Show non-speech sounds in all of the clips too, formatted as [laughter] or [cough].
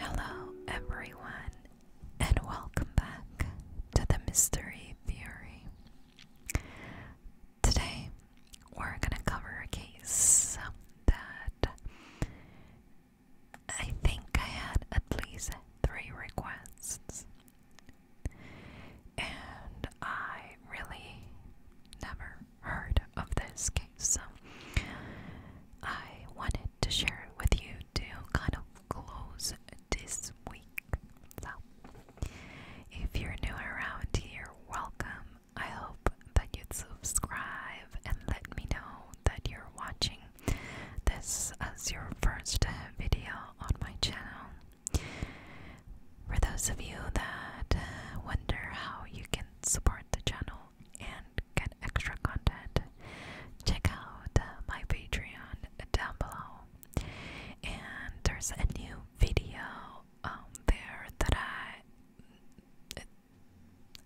Hello, everyone, and welcome back to the Mystery Fury. Today, we're going to cover a case that I think I had at least three requests, and I really never heard of this case, so I wanted to share it with you to kind of close this week. So, if you're new around here, welcome. I hope that you subscribe and let me know that you're watching this is your first video on my channel. For those of you that uh, wonder how you can support the channel and get extra content, check out uh, my Patreon down below. And there's a new video um, there that I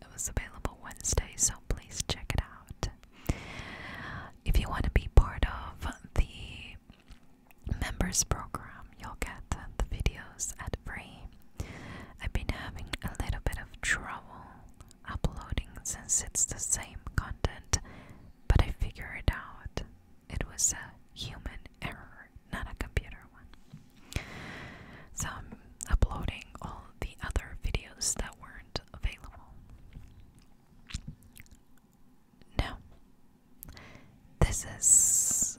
it was available Wednesday, so please check it out. If you want to be part of the members program, you'll get the videos at free. I've been having a little bit of trouble uploading since it's the same content, but I figure it out. It was a human error, not a computer one. So uploading all the other videos that weren't available. Now, this is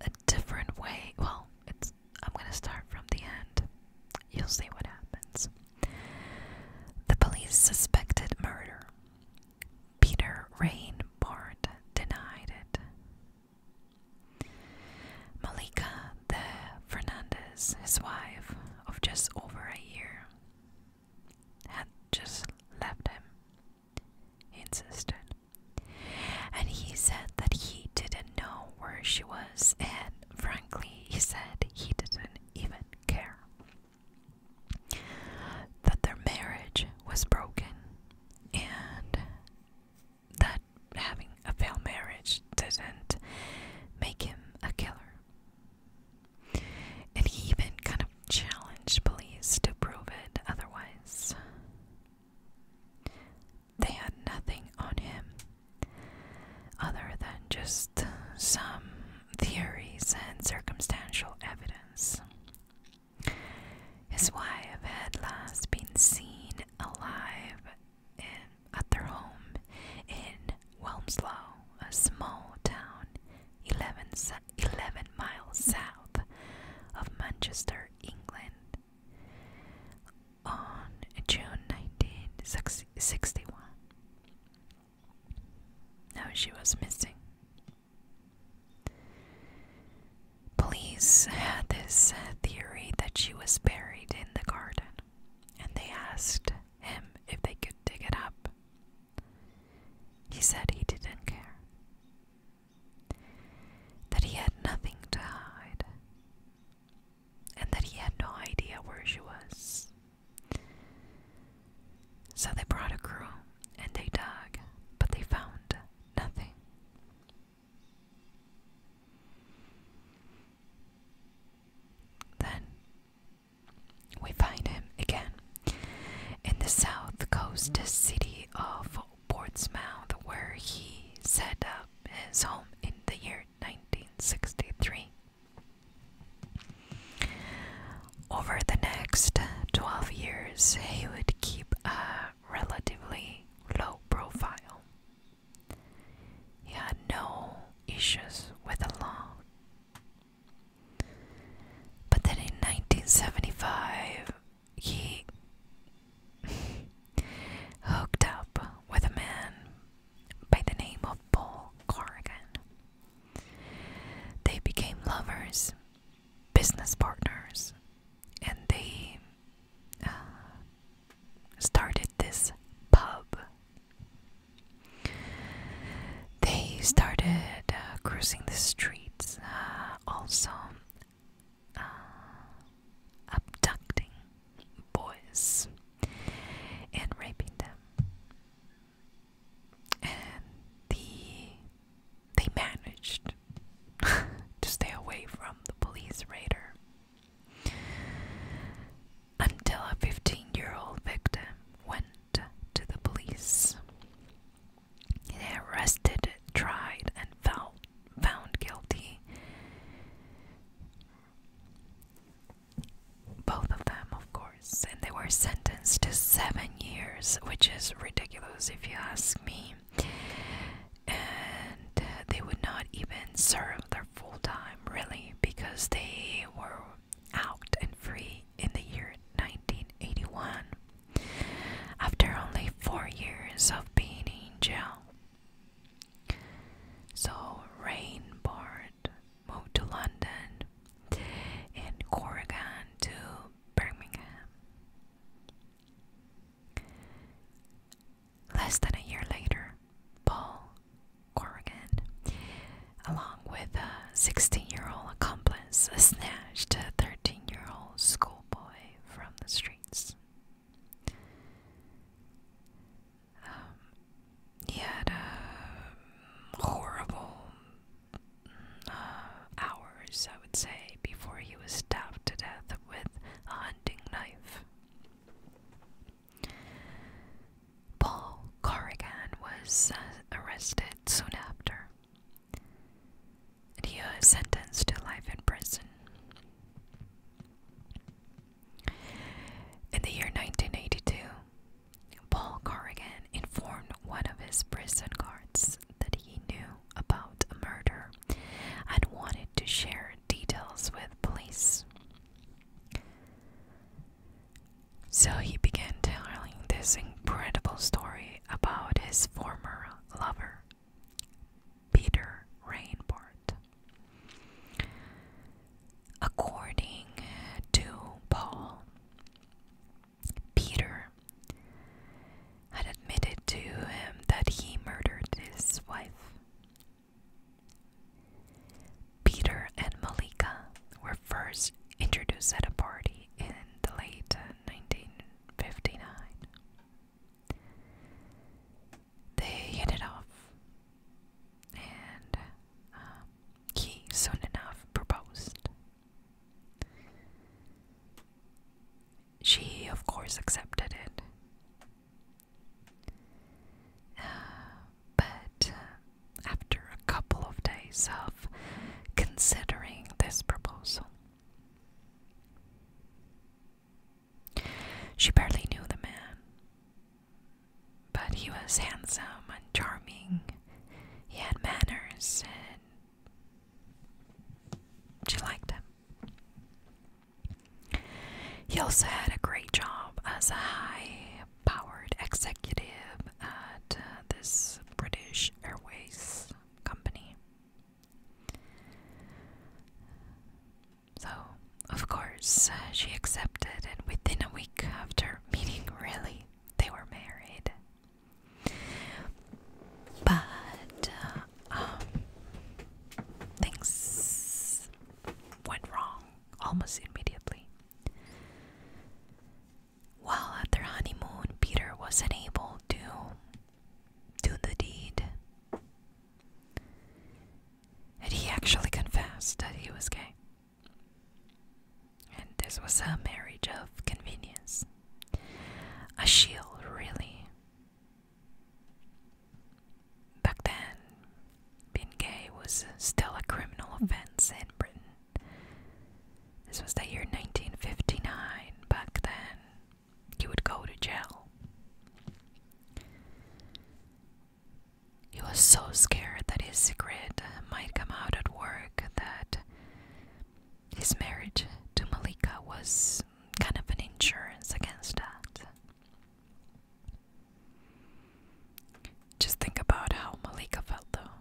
a different way. Well, I'm going to start from the end. You'll see what happens. The police suspected murder. Peter Rainbart denied it. Malika the Fernandez, his wife of just over a year, had just left him, he insisted. And he said that he didn't know where she was, and frankly, he said he didn't even care. That their marriage was broken and that having a failed marriage didn't make him a killer. And he even kind of challenged police to prove it otherwise. They had nothing on him other than just some theories and circumstantial evidence. His wife had last been seen alive in, at their home in Walmslow, a small town 11, miles south of Manchester, England. On June 1961. Now she was missing. Police had this uh, theory that she was buried in the garden and they asked him if they could dig it up. He said he didn't care, that he had nothing to hide, and that he had no idea where she was. So they brought a crew and they dug, but they found nothing. Then we find him again in the south coast city of Portsmouth, where he set up his home in the year 1963. Over the next 12 years, he would keep a relatively low profile. He had no issues with the law. But then in 1975, he [laughs] hooked up with a man by the name of Paul Corrigan. They became lovers, business partners, and they uh, started this pub. They started uh, crossing the streets, uh, also uh, abducting boys and raping them. And the they managed [laughs] to stay away from the police raider until a 15 year old victim went to the police. They arrested, tried, and found, found guilty. Both of them, of course, and they were sentenced to seven years, which is ridiculous if you ask me and they would not even serve their full time really because they were out and free in the year 1981 after only four years of being in jail. So Rainbird moved to London and Corrigan to Birmingham. Less than a year later, Paul Corrigan, along with a 16 year old accomplice, snatched a 13 year old schoolboy from the streets. Um, he had a um, horrible uh, hours, I would say, before he was stabbed to death with a hunting knife. Paul Corrigan was uh, arrested soon after, and he was sentenced to life in prison. In the year 1982, Paul Corrigan informed one of his prison guards that he knew about a murder and wanted to share details with with So he began telling this incredible story about his former lover, Peter Rainbart. According to Paul, Peter had admitted to him that he murdered his wife Peter and Malika were first introduced at a party in the late 1959. They hit it off, and um, he soon enough proposed. She, of course, accepted it. [sighs] but uh, after a couple of days of considering this proposal, she barely knew the man, but he was handsome and charming. He had manners, and she liked him. He also had a great job as a high powered executive at uh, this British Airways company. So, of course, uh, she accepted, and within a week after meeting, really, they were married. But uh, um, things went wrong almost immediately. While at their honeymoon, Peter was unable to do the deed. And he actually confessed that he was gay. And this was a marriage of convenience. A shield, really. Back then, being gay was still a criminal offense in Britain. This was the year 1959. Back then, he would go to jail. He was so scared that his secret might come out at work that his marriage to Malika was kind of an insurance against that. Just think about how Malika felt though.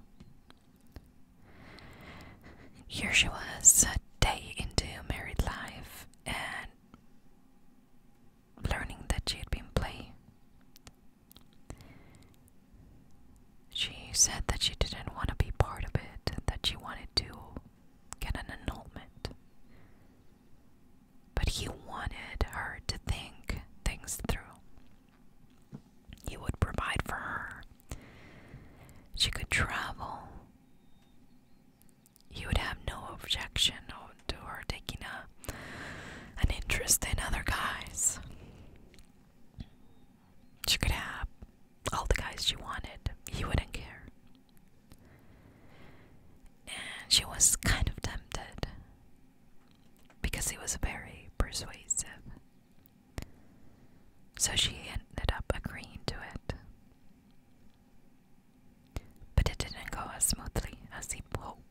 Here she was, a day into married life, and learning that she had been played. She said that she didn't want to be part of it, that she wanted to get an annulment. But he wanted her to think things through. He would provide for her. She could travel. He would have no objection to her taking a, an interest in other guys. She could have all the guys she wanted. He wouldn't care. And she was kind of tempted because he was very persuasive. So she ended up agreeing to it. But it didn't go as smoothly as he hoped.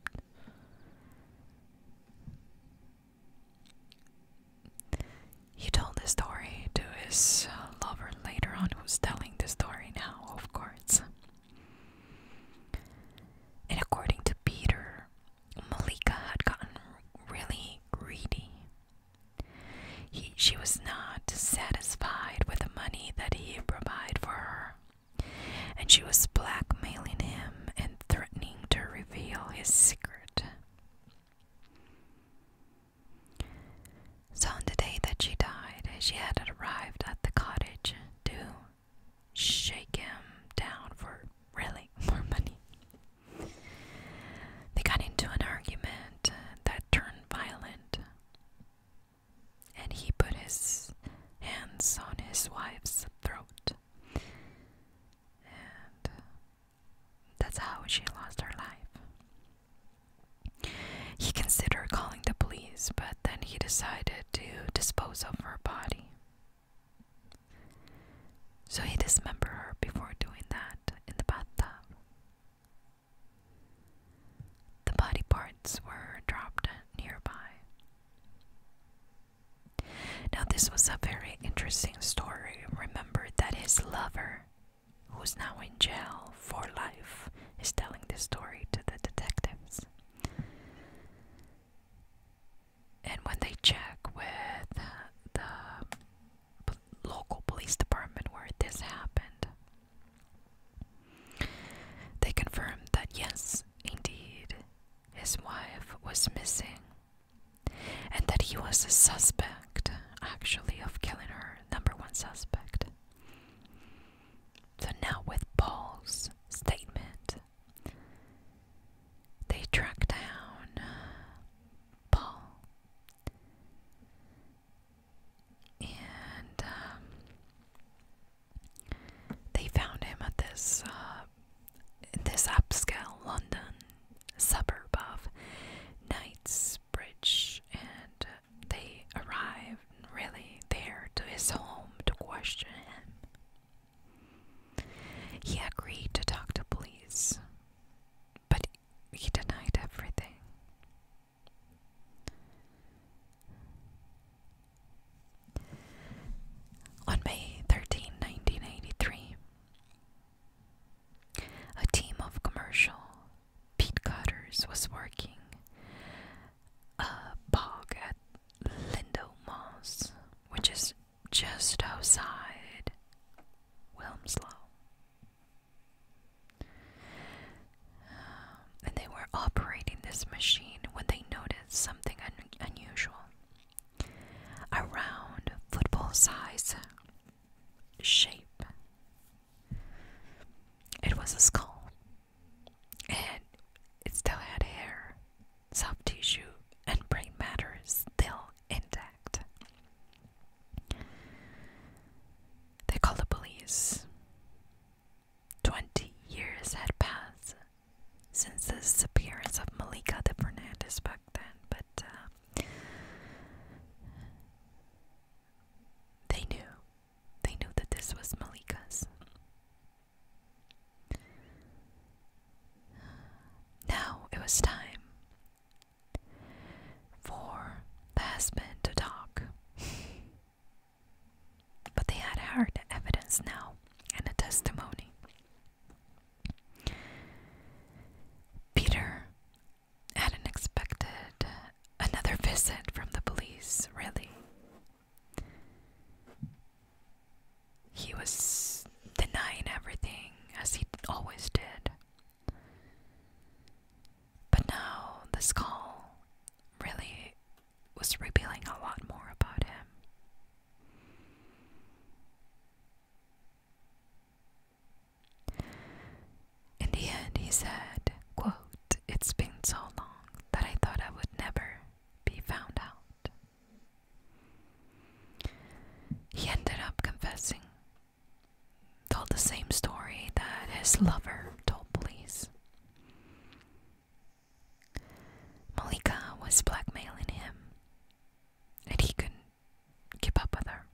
He told his story to his lover later on who's telling the story now, of course. And according to Peter, Malika had gotten really greedy. she was not satisfied with the money that he provided for her, and she was blackmailing him and threatening to reveal his secret. So, on the day that she died, she had arrived at the cottage to shake him down for really [laughs] more money. They got into an argument that turned violent, and he put his hands on his wife's throat. And that's how she lost her life. He considered calling the police, but then he decided to dispose of her body. So he dismembered her before doing that in the bathtub. The body parts were dropped nearby. Now, this was a very interesting story. Remember that his lover who's now in jail for life, is telling this story to the detectives. And when they check with uh, the local police department where this happened, they confirm that yes, indeed, his wife was missing and that he was a suspect, actually, of killing her, number one suspect. So now, with Paul's statement, they track down Paul. And um, they found him at this uh, this upscale London suburb of Knightsbridge, and they arrive really there to his home to question him. He agreed to talk to police, but he denied everything. On May 13, a team of commercial peat cutters was working a bog at Lindo Moss, which is just outside Wilmslow. Um, and they were operating this machine when they noticed something unusual. A round, football size shape. It was a skull, and it still had hair, soft tissue, and brain matter still intact. They called the police. Twenty years had passed since the disappearance of Malika de Fernandez back then, but uh, they knew. They knew that this was Malika's. Now it was time for the husband to talk. [laughs] but they had hard evidence now and a testimony. Peter hadn't expected another visit from the police, really. He was denying everything, as he always did. But now this call really was revealing a lot more about him. In the end, he said, It's been so long that I thought I would never be found out. He ended up confessing, told the same story that his lover told police. Malika was blackmailing him, and he couldn't keep up with her.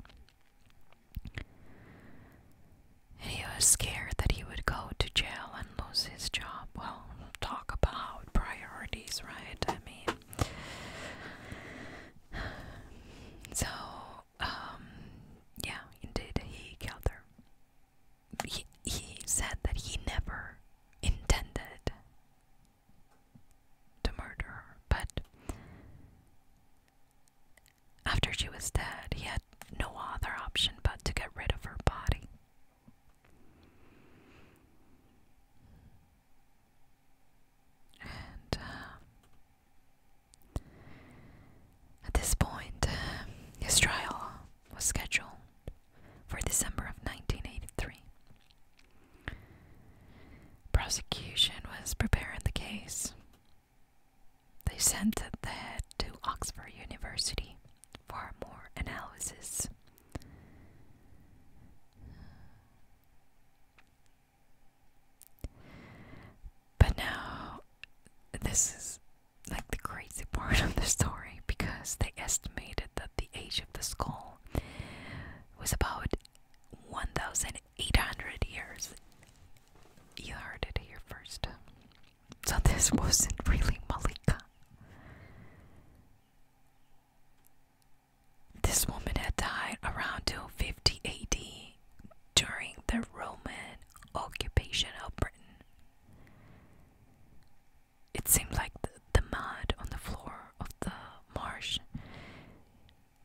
And he was scared that he would go to jail and lose his job. Well, talk about priorities, right? I mean, so, um, yeah, indeed, he killed her. He, he said that he never intended to murder her, but after she was dead, he had no other option but to get rid of her body. And uh, at this point, uh, his trial was scheduled for December of 1983. Prosecution was preparing the case, they sent the head to Oxford University for more analysis. But now, this is like the crazy part of the story because they estimated that the age of the skull was about 1,800 years you heard it here first. So this wasn't really Malika. This woman had died around 250 AD during the Roman occupation of Britain. It seemed like the mud on the floor of the marsh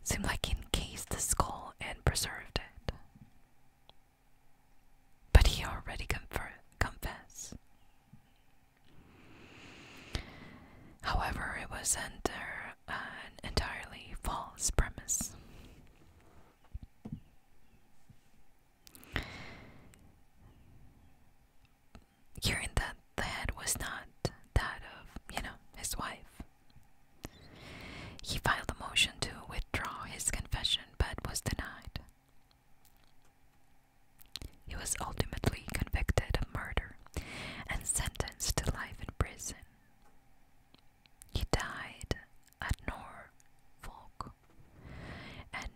seemed like he encased the skull and preserved it. But he already confessed. However, it was under an entirely false premise. Hearing that the head was not that of, you know, his wife, he filed a motion to withdraw his confession but was denied. He was ultimately convicted of murder and sentenced to life in prison. He died at Norfolk and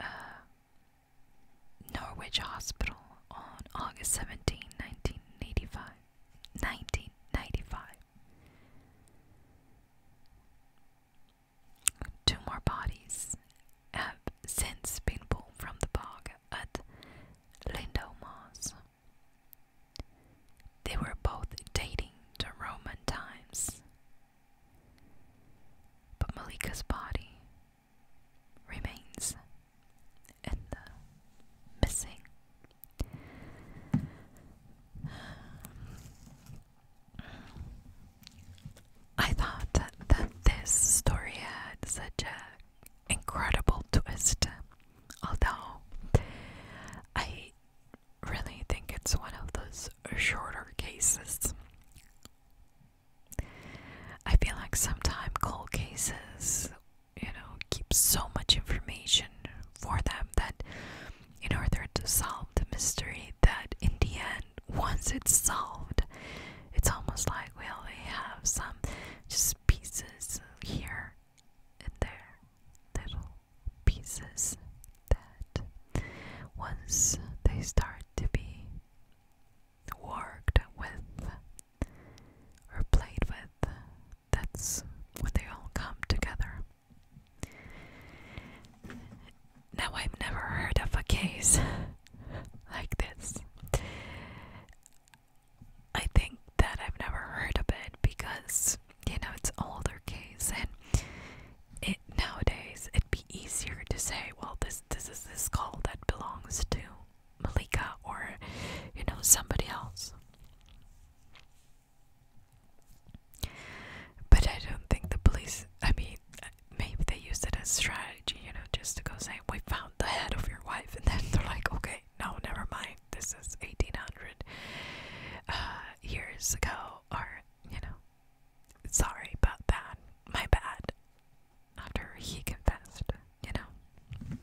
uh, Norwich Hospital on August 17, 1985. 1995. Two more bodies have since been pulled from the bog at Lindo They were both dating to Roman times. But Malika's body remains in missing. I thought that, that this story had such an incredible twist, although I really think it's one of those shorter cases. I feel like sometimes cold cases you know, keeps so much information for them that in order to solve the mystery that in the end once it's solved it's almost like we only have some just pieces here and there little pieces that once they start to be worked with or played with that's when they all come together. Now, I've never heard of a case [laughs] like this. I think that I've never heard of it because, you know, it's older case and it nowadays it'd be easier to say, well, this this is this call that belongs to Malika or you know somebody else. But I don't think the police. I mean, maybe they used it as strategy, you know, just to go say we found the head of your wife, and then they're like, okay, no, never mind. This is eighteen hundred uh, years ago, or you know, sorry about that, my bad. After he confessed, you know.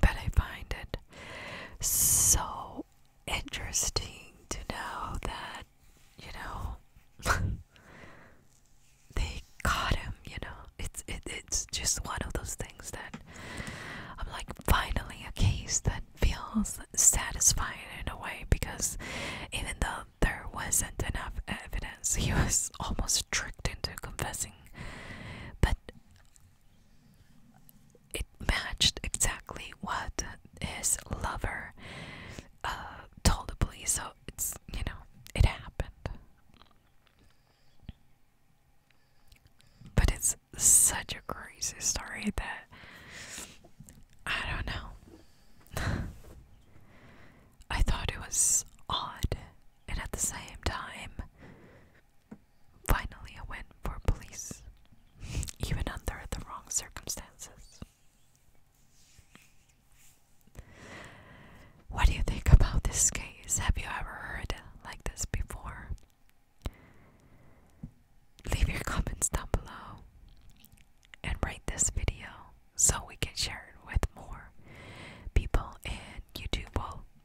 But I find it so interesting to know that, you know, [laughs] they caught him, you know. It's it, it's just one of those things that I'm like finally a case that feels satisfying in a way because even though there wasn't enough evidence, he was [laughs] almost tricked into confessing. But it matched exactly what his lover uh, told the police. So it's, you know, it happened. But it's such a crazy story that I don't know. [laughs] I thought it was odd, and at the same time, Finally, a win for police, [laughs] even under the wrong circumstances. What do you think about this case? Have you ever heard like this before? Leave your comments down below and rate this video so we can share it with more people, and YouTube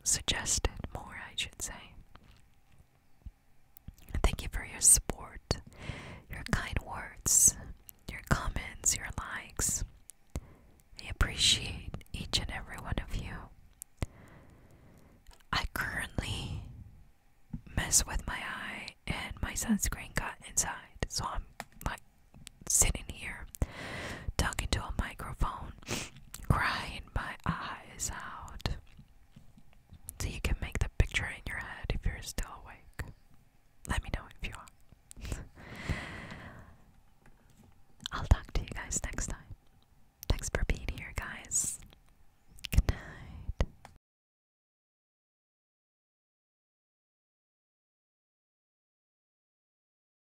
suggested more, I should say. Thank you for your support, your kind words, your comments, your likes. I appreciate each and every one of you. I currently mess with my eye and my sunscreen got inside, so I'm like sitting here talking to a microphone, [laughs] crying my eyes out. So you can make the picture in your head if you're still awake. Let me know if you are. [laughs] I'll talk to you guys next time. Thanks for being here, guys. Good night.